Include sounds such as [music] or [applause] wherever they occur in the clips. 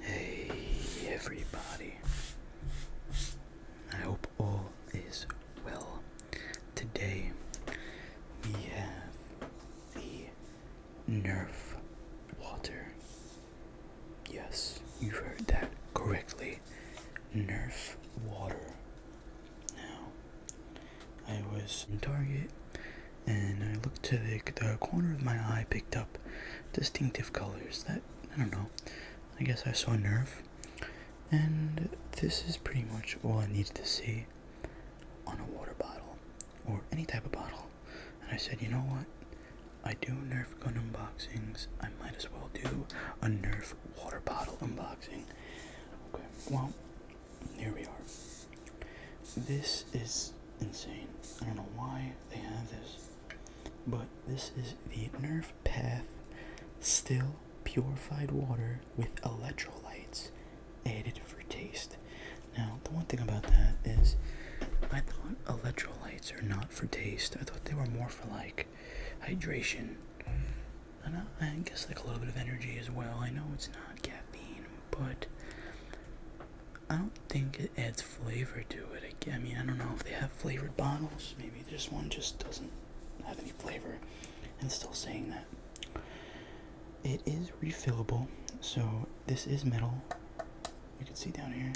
Hey everybody. I hope all is well. Today we have the Nerf water. Yes, you've heard that correctly. Nerf water. Now, I was in Target and I looked to the, the corner of my eye, picked up distinctive colors that, I don't know, I guess I saw a Nerve. And this is pretty much all I needed to see on a water bottle or any type of bottle. And I said, you know what? I do Nerf gun unboxings. I might as well do a Nerf water bottle unboxing. Okay, well, here we are. This is insane. I don't know why they have this, but this is the nerve Path Still Purified Water with Electrolytes added for taste. Now, the one thing about that is I thought electrolytes are not for taste, I thought they were more for like hydration. I, know, guess like a little bit of energy as well. I know it's not caffeine, but I don't think it adds flavor to it. I, I mean, I don't know if they have flavored bottles. Maybe this one just doesn't have any flavor. And still saying that. It is refillable, so this is metal. You can see down here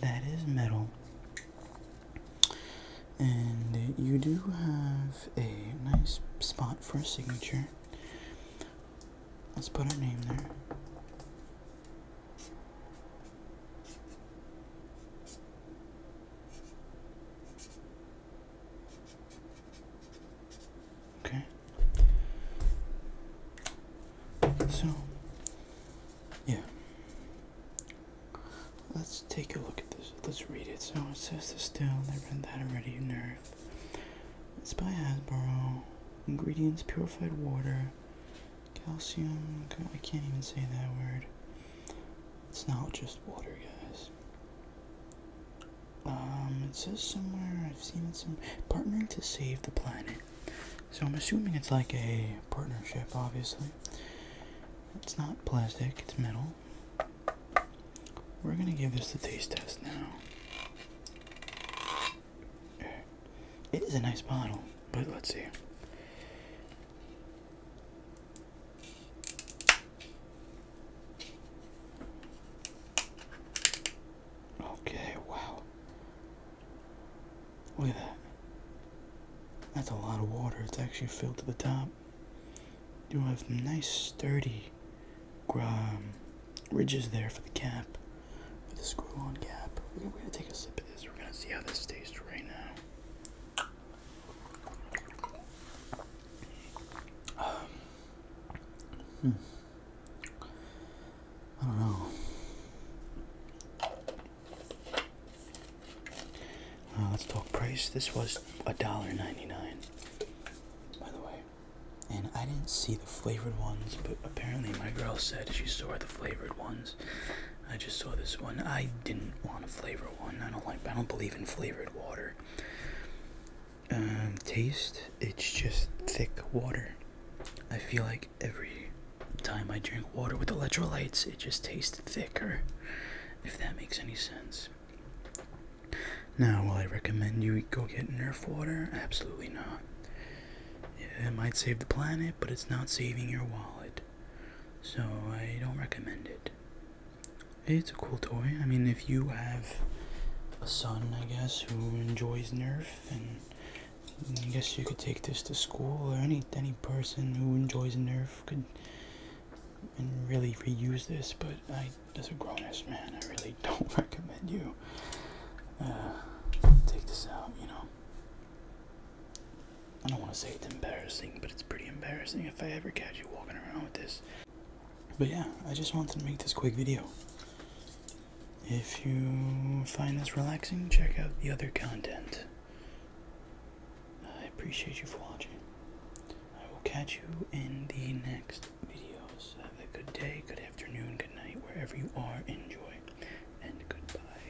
that is metal. And you do have a nice spot for a signature. Let's put our name there. Okay. So yeah. Let's take a look at this. Let's read it. So it says this down. I read that already. Nerve. It's by Hasbro. Ingredients purified water, calcium. I can't even say that word. It's not just water, guys. Um, it says somewhere, I've seen it some. Partnering to save the planet. So I'm assuming it's like a partnership, obviously. It's not plastic, it's metal. We're gonna give this the taste test now. It is a nice bottle, but let's see. Okay, wow. Look at that. That's a lot of water. It's actually filled to the top. You have nice, sturdy um, ridges there for the cap, for the screw-on cap. We're gonna, take a sip of this. We're gonna see how this tastes right now. Um, hmm. I don't know. Uh, let's talk price. This was a dollar ninety-nine, by the way. And I didn't see the flavored ones, but apparently my girl said she saw the flavored ones. I just saw this one. I didn't want a flavored one. I don't like. I don't believe in flavored water. Um, taste, it's just thick water. I feel like every time I drink water with electrolytes, it just tastes thicker, if that makes any sense. Now, will I recommend you go get Nerf water? Absolutely not. It might save the planet, but it's not saving your wallet. So, I don't recommend it. It's a cool toy. I mean, if if you have a son, I guess, who enjoys Nerf, and I guess you could take this to school, or any any person who enjoys Nerf could and really reuse this. But as a grown-ass man, I really [laughs] don't recommend you uh, take this out. You know, I don't want to say it's embarrassing, but it's pretty embarrassing if I ever catch you walking around with this but yeah, I just wanted to make this quick video. If you find this relaxing, check out the other content. I appreciate you for watching. I will catch you in the next videos. Have a good day, good afternoon, good night, wherever you are. Enjoy, and goodbye.